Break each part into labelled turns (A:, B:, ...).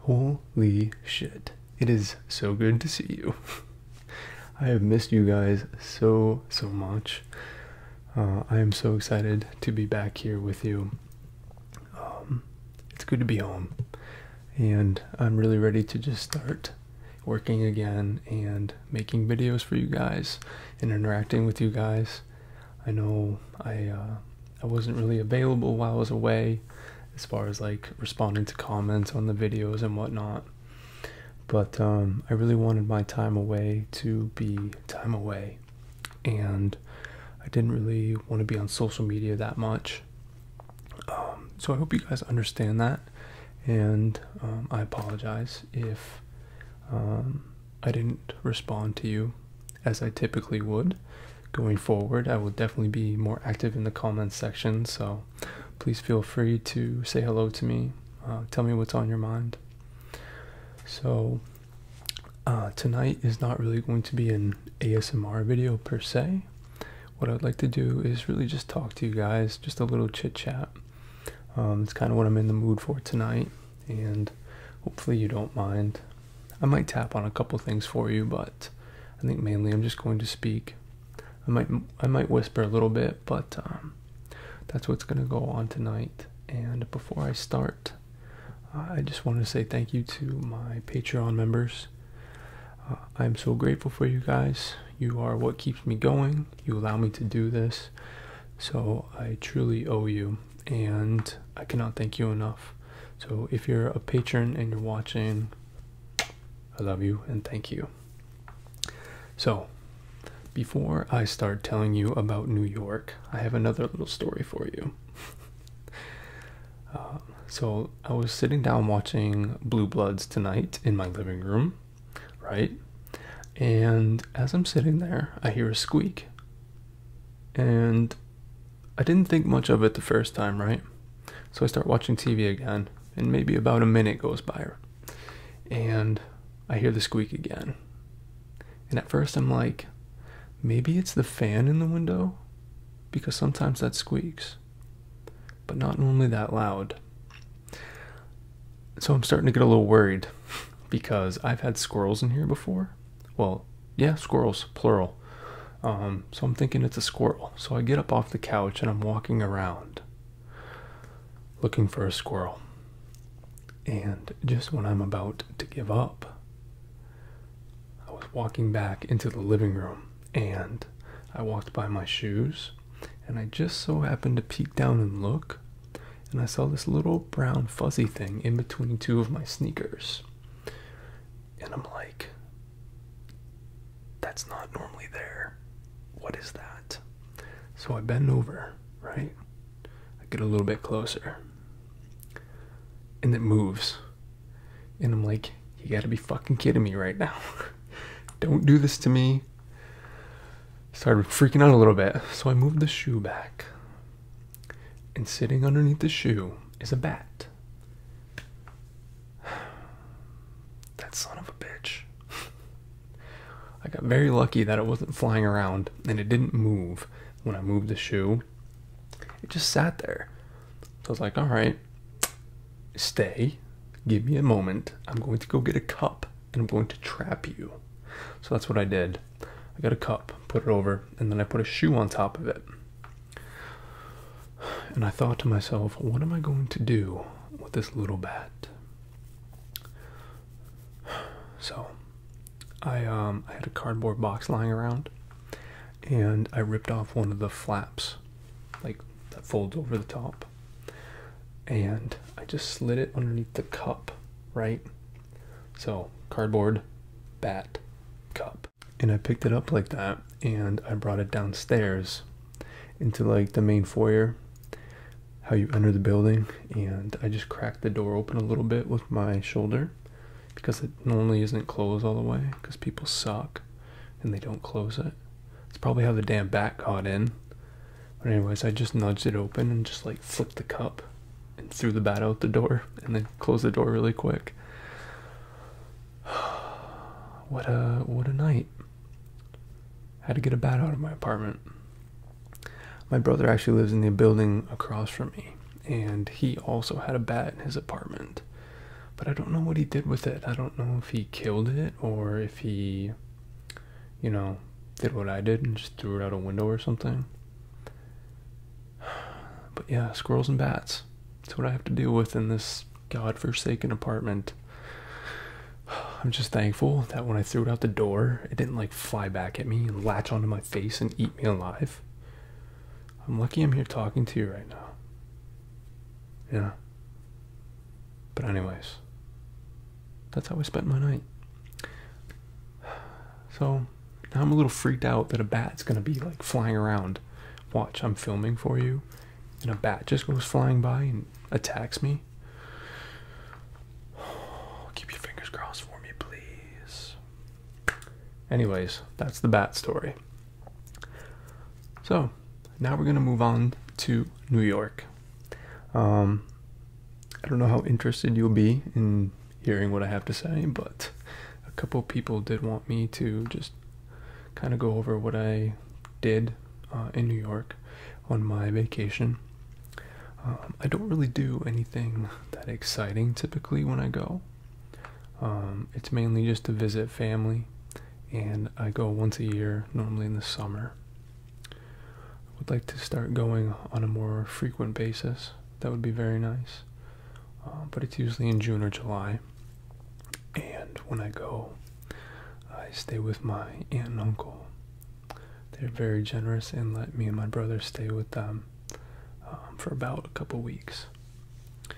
A: Holy shit. It is so good to see you. I have missed you guys so, so much. Uh, I am so excited to be back here with you. Um, it's good to be home. And I'm really ready to just start working again and making videos for you guys and interacting with you guys. I know I uh, I wasn't really available while I was away as far as like responding to comments on the videos and whatnot. But um, I really wanted my time away to be time away. And I didn't really want to be on social media that much. Um, so I hope you guys understand that. And um, I apologize if um, I didn't respond to you as I typically would. Going forward, I will definitely be more active in the comments section, so please feel free to say hello to me. Uh, tell me what's on your mind. So, uh, tonight is not really going to be an ASMR video per se. What I'd like to do is really just talk to you guys, just a little chit chat. Um, it's kind of what I'm in the mood for tonight, and hopefully you don't mind. I might tap on a couple things for you, but I think mainly I'm just going to speak. I might I might whisper a little bit, but um, that's what's going to go on tonight. And before I start, uh, I just want to say thank you to my Patreon members. Uh, I'm so grateful for you guys. You are what keeps me going you allow me to do this. So I truly owe you, and I cannot thank you enough. So if you're a patron and you're watching, I love you and thank you. So before I start telling you about New York, I have another little story for you. Uh, so I was sitting down watching Blue Bloods tonight in my living room right? And as I'm sitting there, I hear a squeak. And I didn't think much of it the first time, right? So I start watching TV again, and maybe about a minute goes by, and I hear the squeak again. And at first, I'm like, maybe it's the fan in the window? Because sometimes that squeaks, but not normally that loud. So I'm starting to get a little worried because I've had squirrels in here before. Well, yeah, squirrels, plural. Um, so I'm thinking it's a squirrel. So I get up off the couch and I'm walking around looking for a squirrel. And just when I'm about to give up, I was walking back into the living room and I walked by my shoes and I just so happened to peek down and look, and I saw this little brown fuzzy thing in between two of my sneakers. And I'm like, that's not normally there. What is that? So I bend over, right? I get a little bit closer. And it moves. And I'm like, you gotta be fucking kidding me right now. Don't do this to me started freaking out a little bit. So I moved the shoe back. And sitting underneath the shoe is a bat. That son of a bitch. I got very lucky that it wasn't flying around and it didn't move when I moved the shoe. It just sat there. So I was like, all right, stay, give me a moment. I'm going to go get a cup and I'm going to trap you. So that's what I did. I got a cup, put it over, and then I put a shoe on top of it. And I thought to myself, what am I going to do with this little bat? So I um I had a cardboard box lying around and I ripped off one of the flaps like that folds over the top and I just slid it underneath the cup, right? So, cardboard, bat, cup. And I picked it up like that and I brought it downstairs into like the main foyer, how you enter the building. And I just cracked the door open a little bit with my shoulder because it normally isn't closed all the way because people suck and they don't close it. It's probably how the damn bat got in. But anyways, I just nudged it open and just like flipped the cup and threw the bat out the door and then closed the door really quick. What a what a night. Had to get a bat out of my apartment. My brother actually lives in the building across from me, and he also had a bat in his apartment. But I don't know what he did with it. I don't know if he killed it or if he you know, did what I did and just threw it out a window or something. But yeah, squirrels and bats. That's what I have to deal with in this godforsaken apartment. I'm just thankful that when I threw it out the door, it didn't like fly back at me and latch onto my face and eat me alive. I'm lucky I'm here talking to you right now. Yeah. But, anyways, that's how I spent my night. So, now I'm a little freaked out that a bat's gonna be like flying around. Watch, I'm filming for you, and a bat just goes flying by and attacks me. keep your fingers crossed for me, please. Anyways, that's the bat story. So, now we're gonna move on to New York. Um, I don't know how interested you'll be in hearing what I have to say, but a couple people did want me to just kind of go over what I did uh, in New York on my vacation. Um, I don't really do anything that exciting typically when I go. Um, it's mainly just to visit family and I go once a year, normally in the summer. I would like to start going on a more frequent basis. That would be very nice. Uh, but it's usually in June or July. And when I go, I stay with my aunt and uncle. They're very generous and let me and my brother stay with them um, for about a couple weeks. Uh,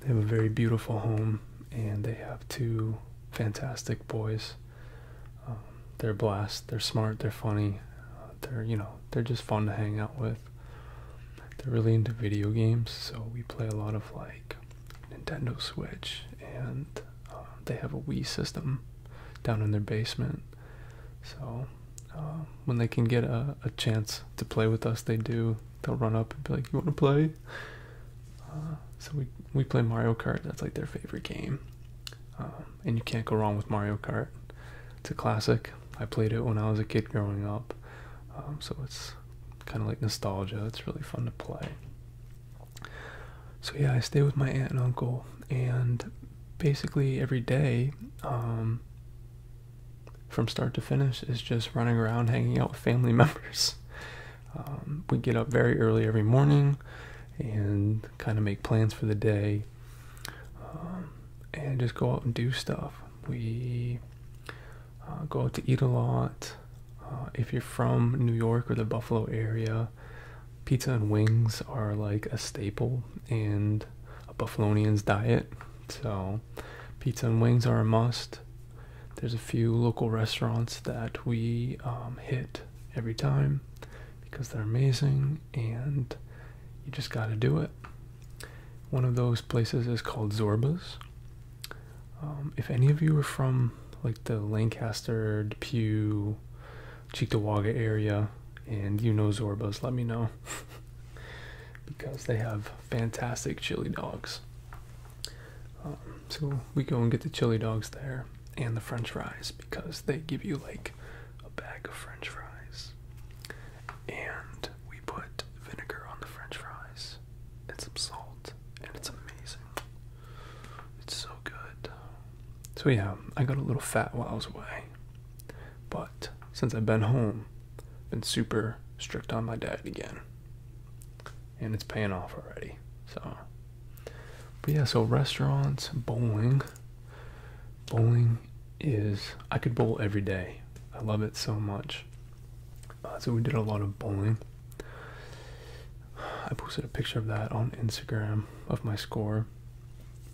A: they have a very beautiful home and they have two fantastic boys. Um, they're blast. They're smart. They're funny. Uh, they're you know they're just fun to hang out with. They're really into video games, so we play a lot of like Nintendo Switch, and uh, they have a Wii system down in their basement. So uh, when they can get a chance to play with us, they do they'll run up and be like, "You want to play?" Uh, so we we play Mario Kart. That's like their favorite game, um, and you can't go wrong with Mario Kart. It's a classic. I played it when I was a kid growing up, um, so it's kind of like nostalgia. It's really fun to play. So yeah, I stay with my aunt and uncle, and basically every day, um, from start to finish, is just running around hanging out with family members. Um, we get up very early every morning and kind of make plans for the day um, and just go out and do stuff. We uh, go out to eat a lot. Uh, if you're from New York or the Buffalo area, pizza and wings are like a staple in a Buffalonian's diet. So, pizza and wings are a must. There's a few local restaurants that we um, hit every time because they're amazing and you just got to do it. One of those places is called Zorba's. Um, if any of you are from like the Lancaster, Depew, Cheektowaga area and you know Zorba's, let me know because they have fantastic chili dogs. Um, so we go and get the chili dogs there and the french fries because they give you
B: like a bag of french fries. And we put vinegar on the french fries and some salt, and it's amazing. It's
A: so good. So, yeah, I got a little fat while I was away. But since I've been home, I've been super strict on my diet again and it's paying off already. So, but yeah, so restaurants, bowling, bowling is I could bowl every day. I love it so much. Uh, so we did a lot of bowling. I posted a picture of that on Instagram of my score.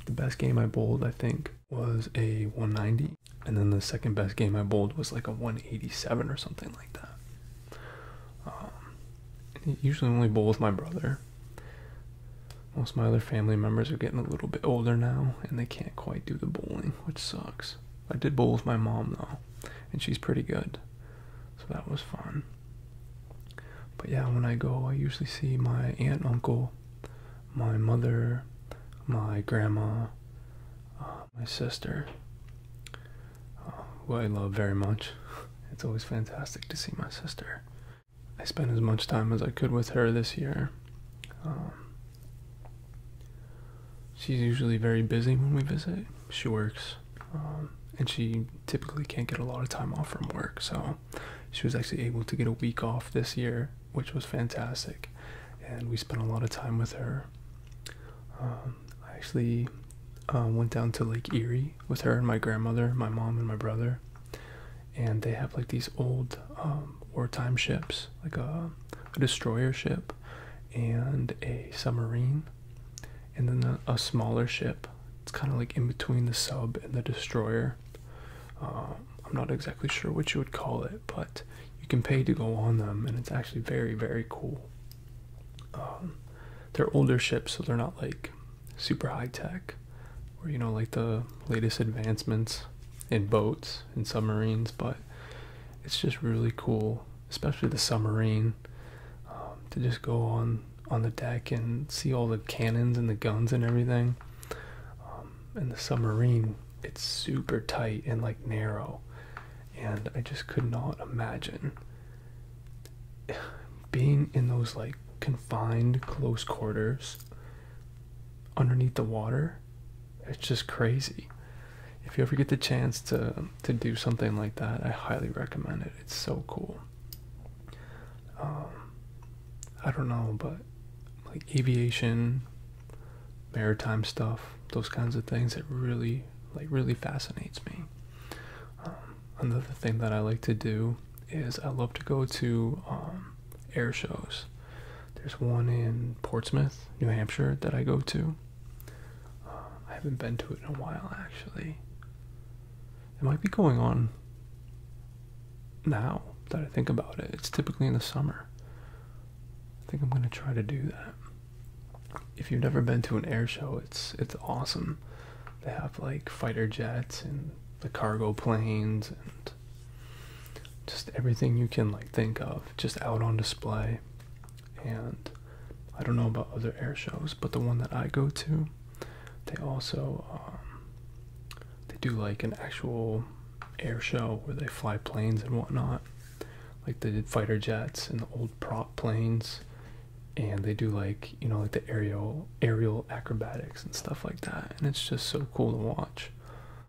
A: The best game I bowled, I think, was a 190, and then the second best game I bowled was like a 187 or something like that. Um, usually only bowl with my brother. Most of my other family members are getting a little bit older now, and they can't quite do the bowling, which sucks. I did bowl with my mom though, and she's pretty good, so that was fun. But yeah, when I go, I usually see my aunt, uncle, my mother, my grandma, um, my sister, um, who I love very much. It's always fantastic to see my sister. I spent as much time as I could with her this year. Um, she's usually very busy when we visit. She works, um, and she typically can't get a lot of time off from work. So she was actually able to get a week off this year, which was fantastic. And we spent a lot of time with her. I actually uh, went down to Lake Erie with her and my grandmother, my mom and my brother, and they have like these old um, wartime ships, like a, destroyer ship and a submarine, and then a, smaller ship. It's kind of like in between the sub and the destroyer. Uh, I'm not exactly sure what you would call it, but you can pay to go on them, and it's actually very, very cool. Um, they're older ships, so they're not like super high tech, or you know, like the latest advancements in boats and submarines, but it's just really cool, especially the submarine, um, to just go on on the deck and see all the cannons and the guns and everything. Um, and the submarine it's super tight and like narrow and i just could not imagine being in those like confined close quarters underneath the water it's just crazy if you ever get the chance to to do something like that i highly recommend it it's so cool um, i don't know but like aviation maritime stuff, those kinds of things that really like really fascinates me. Um, another thing that I like to do is I love to go to um, air shows. There's one in Portsmouth, New Hampshire that I go to. Uh, I haven't been to it in a while actually. It might be going on now that I think about it. It's typically in the summer. I think I'm going to try to do that if you've never been to an air show, it's it's awesome. They have like fighter jets and the cargo planes and just everything you can like think of just out on display. And I don't know about other air shows, but the one that I go to, they also um, they do like an actual air show where they fly planes and whatnot like the fighter jets and the old prop planes and they do like you know like the aerial aerial acrobatics and stuff like that and it's just so cool to watch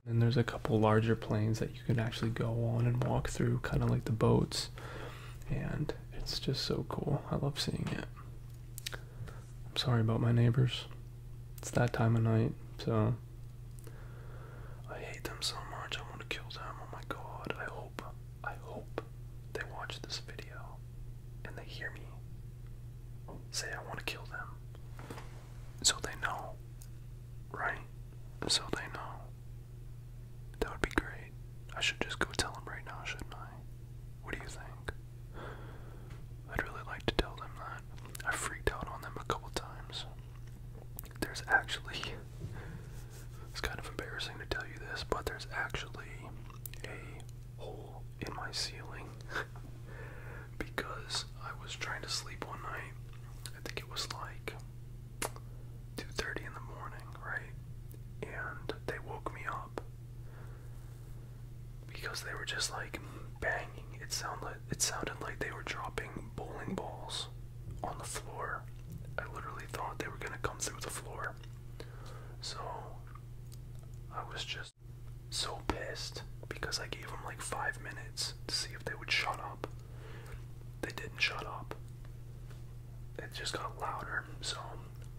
A: and there's a couple larger planes that you can actually go on and walk through kind of like the boats and it's just so cool i love seeing it i'm sorry about my neighbors it's that time of night so I hate them so much, I want to kill them. Oh my god, I hope,
B: I hope they watch this video and they hear me say I want to kill them. So they know, right? So they know. That would be great. I should just go tell them right now, shouldn't I? What do you think? I'd really like to tell them that. I freaked out on them a couple times. There's actually, it's kind of embarrassing to tell you this, but there's actually a hole in my ceiling because I was trying to sleep one night. I think it was like 2:30 in the morning, right? And they woke me up because they were just like banging. It sounded it sounded like they were dropping bowling balls on the floor. I literally thought they were gonna come through the floor. So I was just so pissed because I gave them like five minutes to see if they would shut up. They didn't shut up. It just got louder. So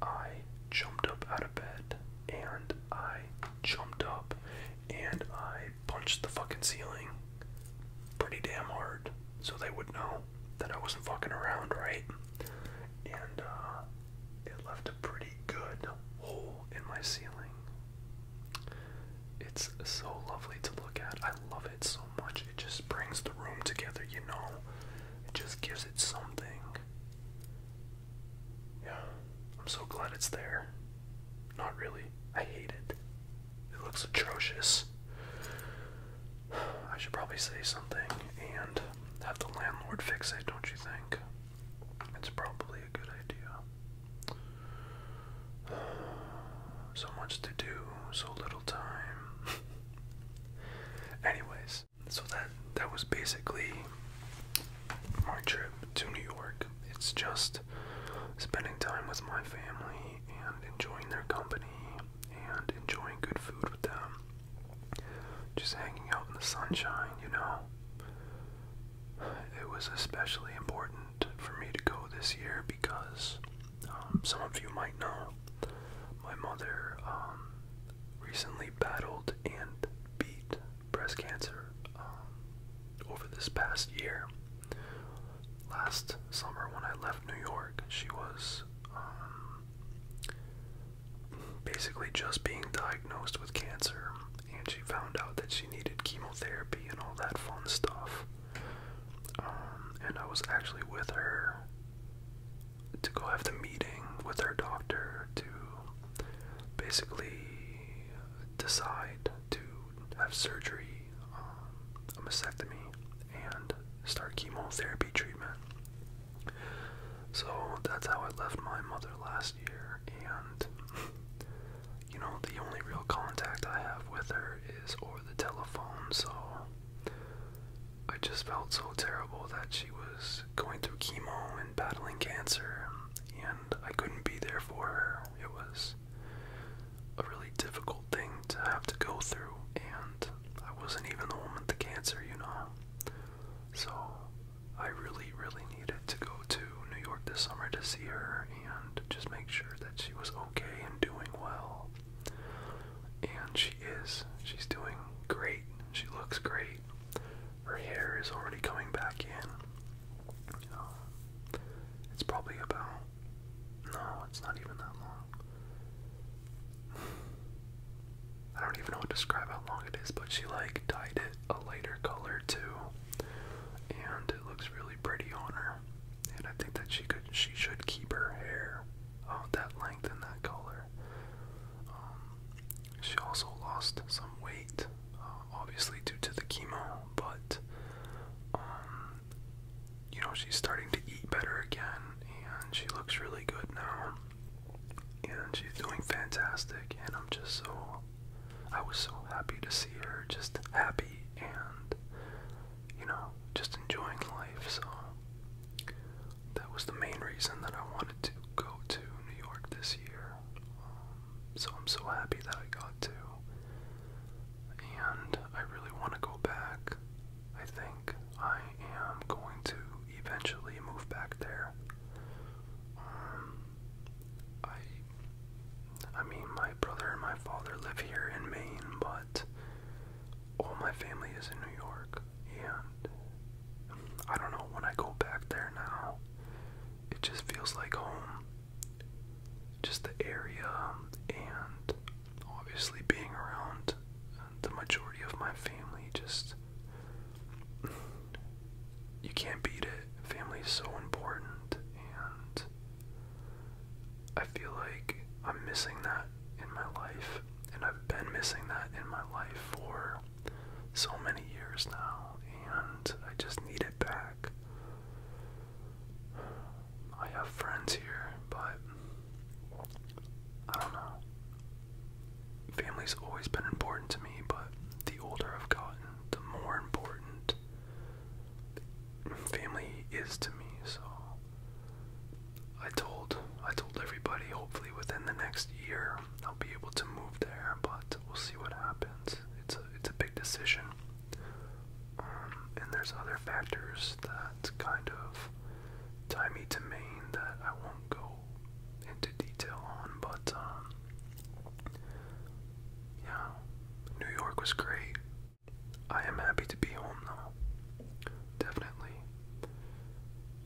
B: I jumped up out of bed and I jumped up and I punched the fucking ceiling pretty damn hard so they would know that I wasn't fucking around, right? And uh, it left a pretty good hole in my ceiling. It's so lovely to look at. I love it so much. It just brings the room together, you know? It just gives it something. Yeah, I'm so glad it's there. Not really. I hate it. It looks atrocious. I should probably say something and have the landlord fix it, don't you think? It's probably a good idea. so much to do, so little time. Anyways, so that that was basically my trip to New York. It's just spending time with my family and enjoying their company and enjoying good food with them. Just hanging out in the sunshine, you know. It was especially important for me to go this year because um, some of you might know my mother um, recently battled and beat breast cancer um, over this past year last summer when I left New York. She was um, basically just being diagnosed with cancer, and she found out that she needed chemotherapy and all that fun stuff. Um, and I was actually with her to go have the meeting with her doctor to basically decide to have surgery um, a mastectomy and start chemotherapy treatment. So that's how I left my mother last year, and you know, the only real contact I have with her is over the telephone, so I just felt so terrible that she was going through chemo and battling cancer, and I couldn't be there for her. It was a really difficult thing to have to go through, and I wasn't even home with the cancer, you know. So I really, really needed to go to New York this summer to see her and just make sure that she was okay and doing well. And she is. She's doing great. She looks great. Her hair is already coming back in. Oh. it's probably about. No, it's not even that long. I don't even know how to describe how long it is, but she like dyed it a lighter color too. And it looks really pretty on her. And I think that she could she should keep her hair uh, that length and that color. Um, she also lost some weight. Um, obviously due to the chemo, but um, you know she's starting to eat better again, and she looks really good now, and she's doing fantastic. And I'm just so, I was so happy to see her just happy and you know just enjoying life. So that was the main reason that I wanted to go to New York this year. Um, so I'm so happy that I got to. And I really want to go back. I think I am going to eventually move back there. Um, I, I mean, my brother and my father live here in Maine, but all my family is in New York, and I don't know when I go back there now. It just feels like home just the area um, and obviously being around the majority of my family just you can't beat it. Family is so important and I feel like I'm missing that in my life and I've been missing that in my life for so many years now and I just need it back. I have friends here, but I don't know. Family's always been important to me, but the older I've gotten, the more important family is to me. So I told I told everybody hopefully within the next year I'll be able to move there, but we'll see what happens it's a big decision. Um, and there's other factors that kind of tie me to Maine that I won't go into detail on, but um, yeah, New York was great. I am happy to be home though, definitely.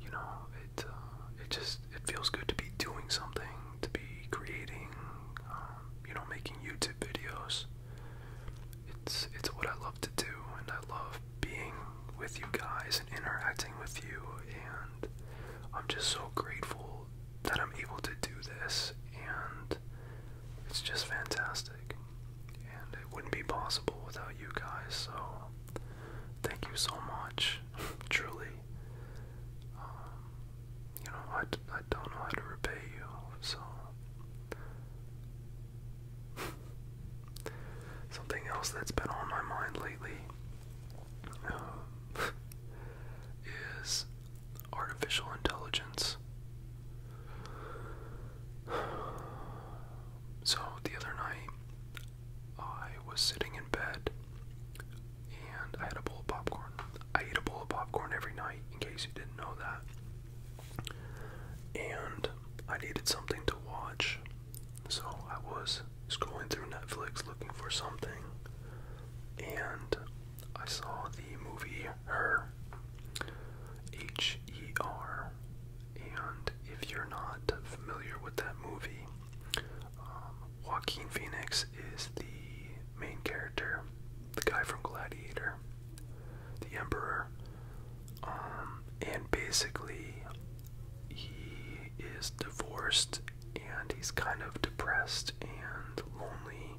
B: You know, it uh, it just it feels good to be doing something to be creating, um, you know, making YouTube videos. It's it's what I love to do, and I love being with you guys and interacting with you, and I'm just so grateful that I'm able to do this, and it's just fantastic. And it wouldn't be possible without you guys, so thank you so much, truly. Um, you know, I, I don't know how to repay you, so. Something else that's been on my mind lately uh, is artificial intelligence. So the other night, I was sitting in bed and I had a bowl of popcorn. I ate a bowl of popcorn every night, in case you didn't know that. And I needed something to watch, so I was scrolling through Netflix looking for something, and I saw the movie Her, H E R. And if you're not familiar with that movie, um, Joaquin Phoenix is the main character, the guy from Gladiator, the Emperor. Um, and basically, he is divorced and he's kind of depressed and lonely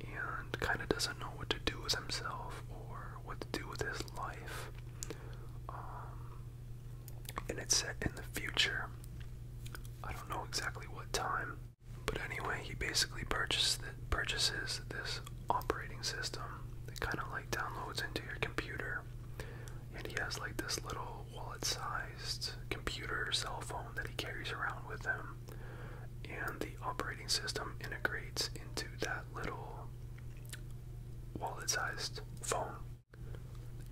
B: and kind of doesn't know what to do with himself or what to do with his life. Um, and it's set in the future. I don't know exactly what time, but anyway, he basically purchases this operating system that kind of like downloads into your computer, and he has like this little wallet-sized computer cell phone that he carries around with him, and the operating system integrates into that little wallet-sized phone.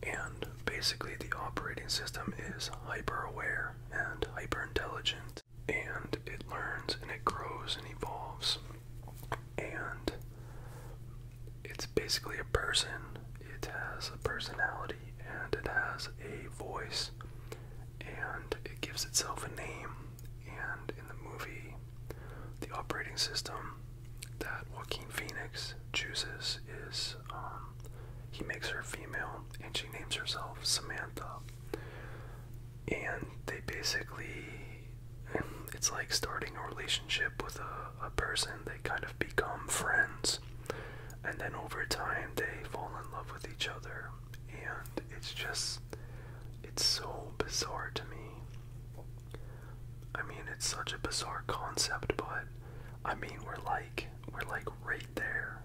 B: And basically, the operating system is hyper aware and hyper intelligent, and it learns and it grows and evolves. And it's basically a person, it has a personality, and it has a voice, and it gives itself a name. And in the movie, the operating system that Joaquin Phoenix chooses is um, he makes her female and she names herself Samantha. And they basically, it's like starting a relationship with a, person, they kind of become friends. And then over time, they fall in love with each other. And it's just, it's so bizarre to me. I mean, it's such a bizarre concept, but I mean, we're like we're like right there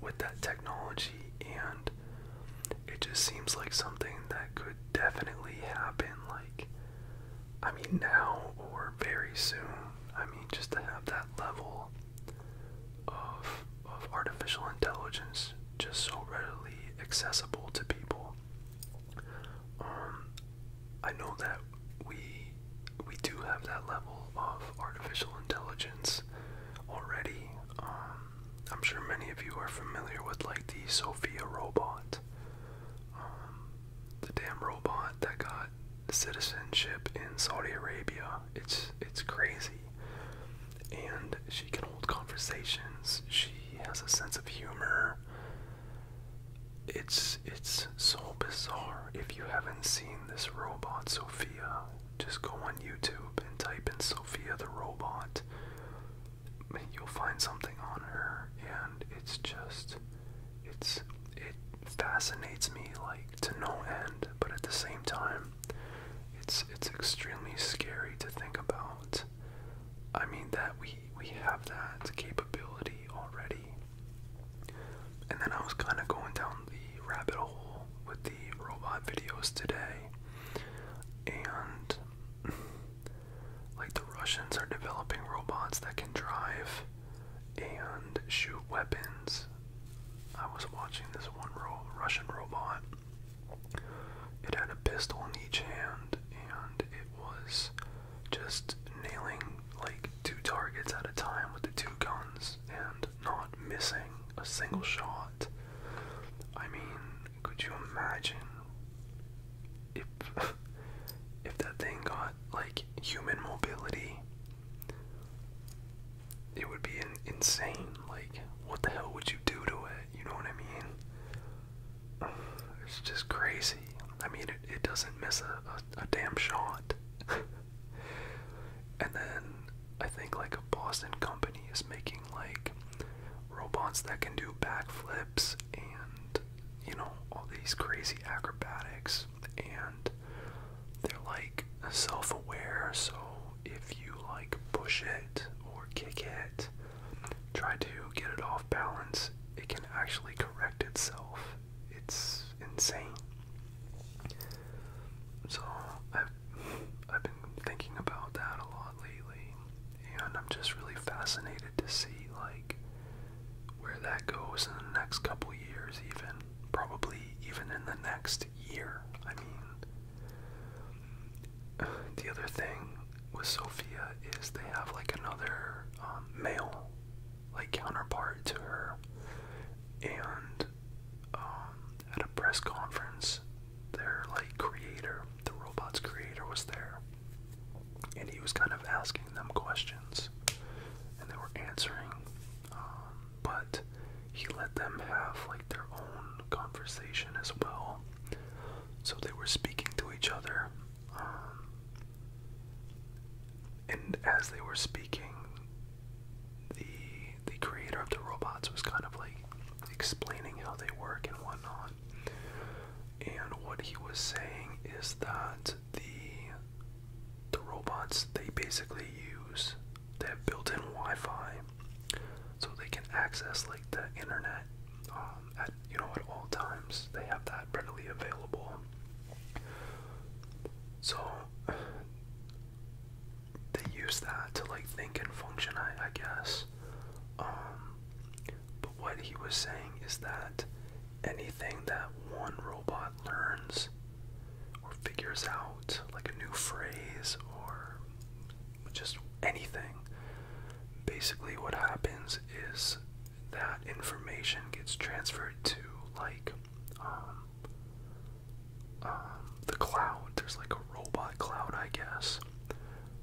B: with that technology, and it just seems like something that could definitely happen. Like, I mean, now or very soon. I mean, just to have that level of of artificial intelligence just so readily accessible to people. Um, I know that we we do have that level of artificial intelligence already. Um, I'm sure many of you are familiar with like the Sophia robot, um, the damn robot that got citizenship in Saudi Arabia. It's it's crazy, and she can hold conversations. She has a sense of humor. It's it's so bizarre. If you haven't seen this robot Sophia, just go on YouTube and type in Sophia the robot. You'll find something on her, and it's just it's it fascinates me like to no end. But at the same time, it's it's extremely scary to think about. I mean that we we have that capability already and then I was kind of going down the rabbit hole with the robot videos today. And like the Russians are developing robots that can drive and shoot weapons. I was watching this one Russian robot. It had a pistol in each hand and it was just nailing like two targets at a time with the two guns and not missing a single shot. I mean, could you imagine if if that thing got like human mobility? It would be insane. Like, what the hell would you do to it? You know what I mean? It's just crazy. I mean, it, it doesn't miss a a damn shot. and then I think like a Boston company is making like robots that can do backflips and you know all these crazy acrobatics and they're like self-aware so if you like push it or kick it try to get it off balance it can actually correct itself it's insane. So I've I've been thinking about that a lot lately, and I'm just really fascinated to see like where that goes in the next couple years, even probably even in the next year. I mean, the other thing with Sophia is they have like another um, male like counterpart to her. And um, at a press conference, their like creator, the robot's creator, was there, and he was kind of asking them questions, and they were answering. Um, but he let them have like their own conversation as well. So they were speaking to each other um, and as they were speaking, the the creator of the robots was kind of like explaining how they work and whatnot. And what he was saying is that the the robots they basically use they have built-in Wi-Fi, so they can access like the internet um, at you know at all times they have that readily available. So they use that to like think and function, I, I guess. Um, but what he was saying is that anything that one robot learns or figures out, like a new phrase or just anything, basically what happens is that information gets transferred to like um, um, the cloud. There's like a robot cloud, I guess.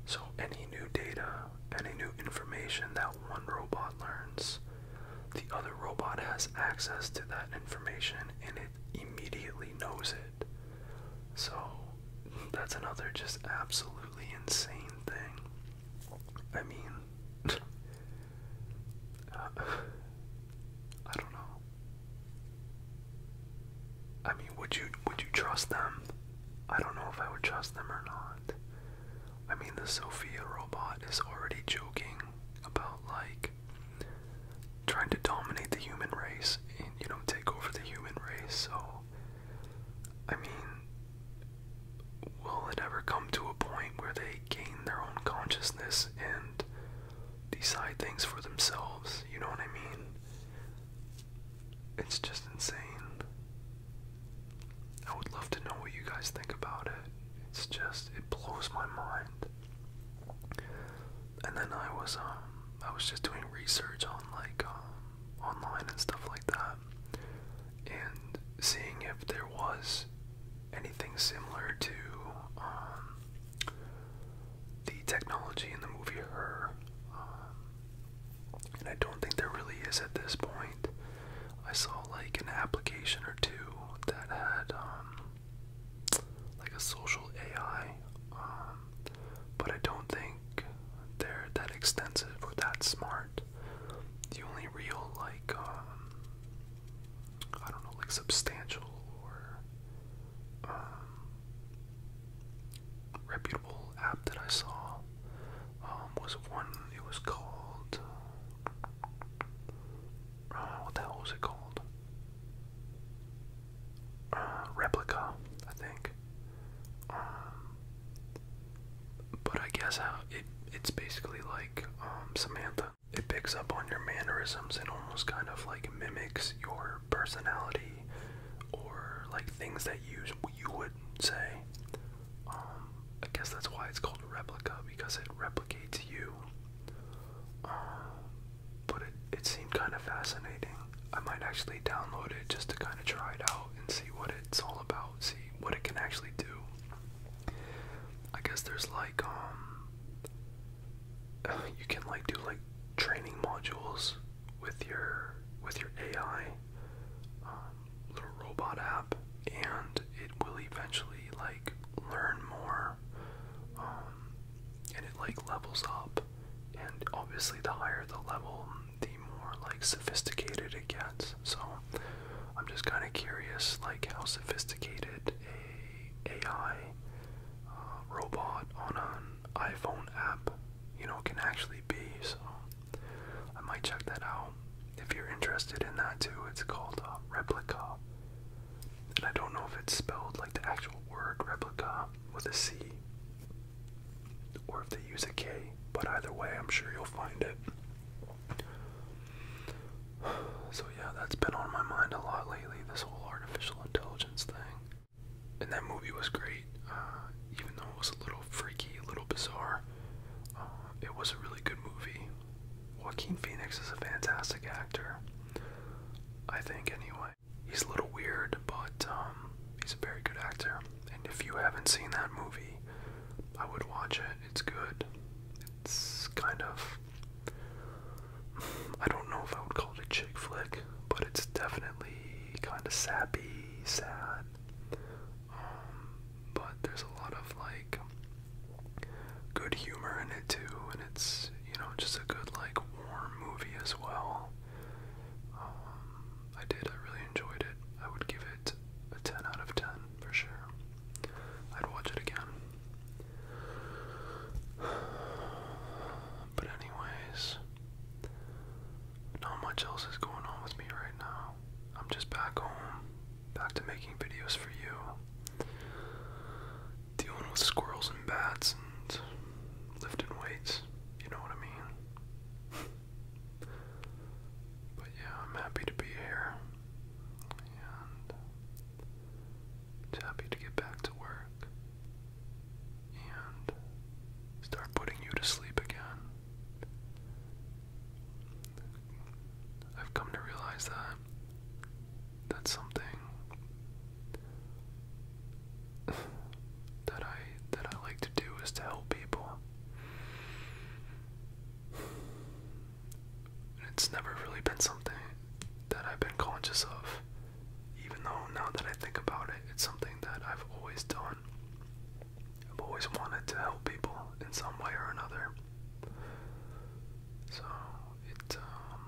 B: So any new data, any new information that one robot learns, the other robot has access to that information and it immediately knows it. So that's another just absolutely insane thing. I mean, uh, I don't know. I mean, would you would you trust them? I don't know if I would trust them or not. I mean, the Sophia robot is already joking about like trying to dominate the human race and you know take over the human race. So, I mean, will it ever come to a point where they gain their own consciousness and decide things for themselves? You know what I mean? It's just insane. I would love to know what you guys think about it. It's just it blows my mind. And then I was um I was just doing research on like um online and stuff like that and seeing if there was anything similar to um, the technology in the movie Her. Um, and I don't think there really is at this point. I saw like an application or two that had um, like a social AI, but I don't think they're that extensive or that smart. The only real like um I don't know like substantial or um reputable app that I saw um was one it was called uh, what the hell was it called? Uh, replica, I think. Um, but I guess it it's basically like um, Samantha. It picks up on your mannerisms and almost kind of like mimics your personality or like things that you you would say. Um, I guess that's why it's called replica because it replicates you. Um, but it it seemed kind of fascinating. I might actually download it just to kind of try it out and see what it's all about. See what it can actually do. I guess there's like um you can like do like training modules with your with your AI um, little robot app and it will eventually like learn more um, and it like levels up and obviously the higher the level the more like sophisticated it gets. So I'm just kind of curious, like how sophisticated a AI uh, robot on an iPhone app, you know, can actually be. So I might check that out if you're interested in that too. It's called uh, Replica, and I don't know if it's spelled like the actual word replica with a C or if they use a K, but either way, I'm sure you'll find it. So, yeah, that's been on my mind a lot lately this whole artificial intelligence thing. And that movie was great, uh, even though it was a little freaky, a little bizarre. Uh, it was a really good movie. Joaquin Phoenix is a fantastic actor, I think, anyway. He's a little weird, but um, he's a very good actor. And if you haven't seen that movie, I would watch it. It's good. It's kind of. I don't know if I would call it a chick flick, but it's definitely kind of sappy, sad. Um, but there's a lot of like good humor in it too, and it's you know just a good like warm movie as well. Um, I did. I really enjoyed it. I would give it a 10 out of 10 for sure. I'd watch it again. But, anyways, not much else is going on with me right now. I'm just back home, back to making videos for you, dealing with squirrels and bats and lifting weights. You know what I mean? But yeah, I'm happy to be here and happy to get back to work and start putting you to sleep again. I've come to realize that that's something that I that I like to do is to help people. It's never really been something that I've been conscious of, even though now that I think about it, it's something that I've always done. I've always wanted to help people in some way or another. So it, um,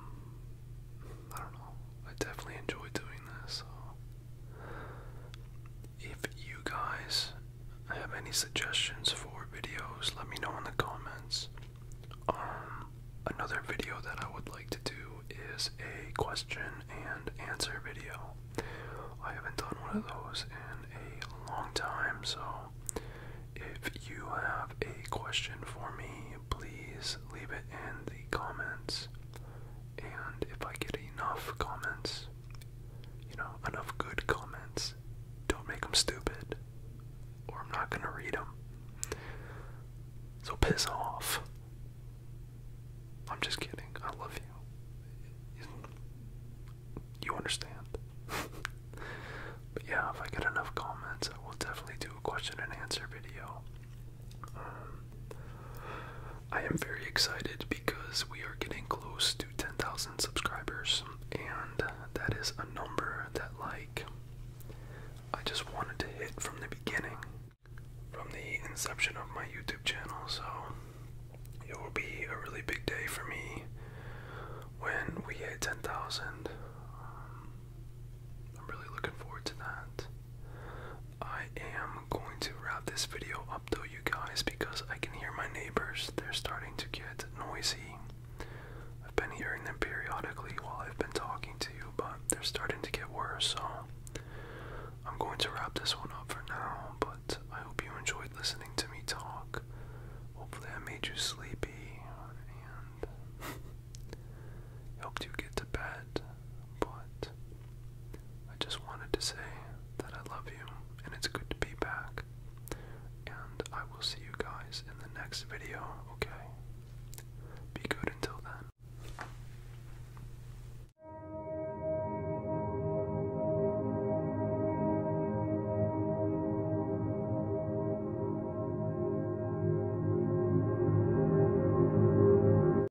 B: I don't know. I definitely enjoy doing this. So if you guys have any suggestions for videos, let me know in the comments. Um, another video that I would like to do is a question and answer video. I haven't done one of those in a long time, so if you have a question for me, please leave it in the comments and if I get enough comments, you know, enough good comments, don't make them stupid, or I'm not gonna read them. So piss off. I'm just kidding. I love you. You understand. but yeah, if I get enough comments, I will definitely do a question and answer video. Um, I am very excited because we are getting close to 10,000 subscribers, and that is a number that, like, I just wanted to hit from the beginning, from the inception of my YouTube channel. So it will be a really big day for me when we hit 10,000. Um, I'm really looking forward to that. I am going to wrap this video up though, you guys, because I can hear my neighbors. They're starting to get noisy. I've been hearing them periodically while I've been talking to you, but they're starting to get worse, so I'm going to wrap this one up for now. But I hope you enjoyed listening to me talk. Hopefully, I made you sleepy and helped you get to bed but I just wanted to say that I love you and it's good to be back. And I will see you guys in the next video, okay? Be good until then.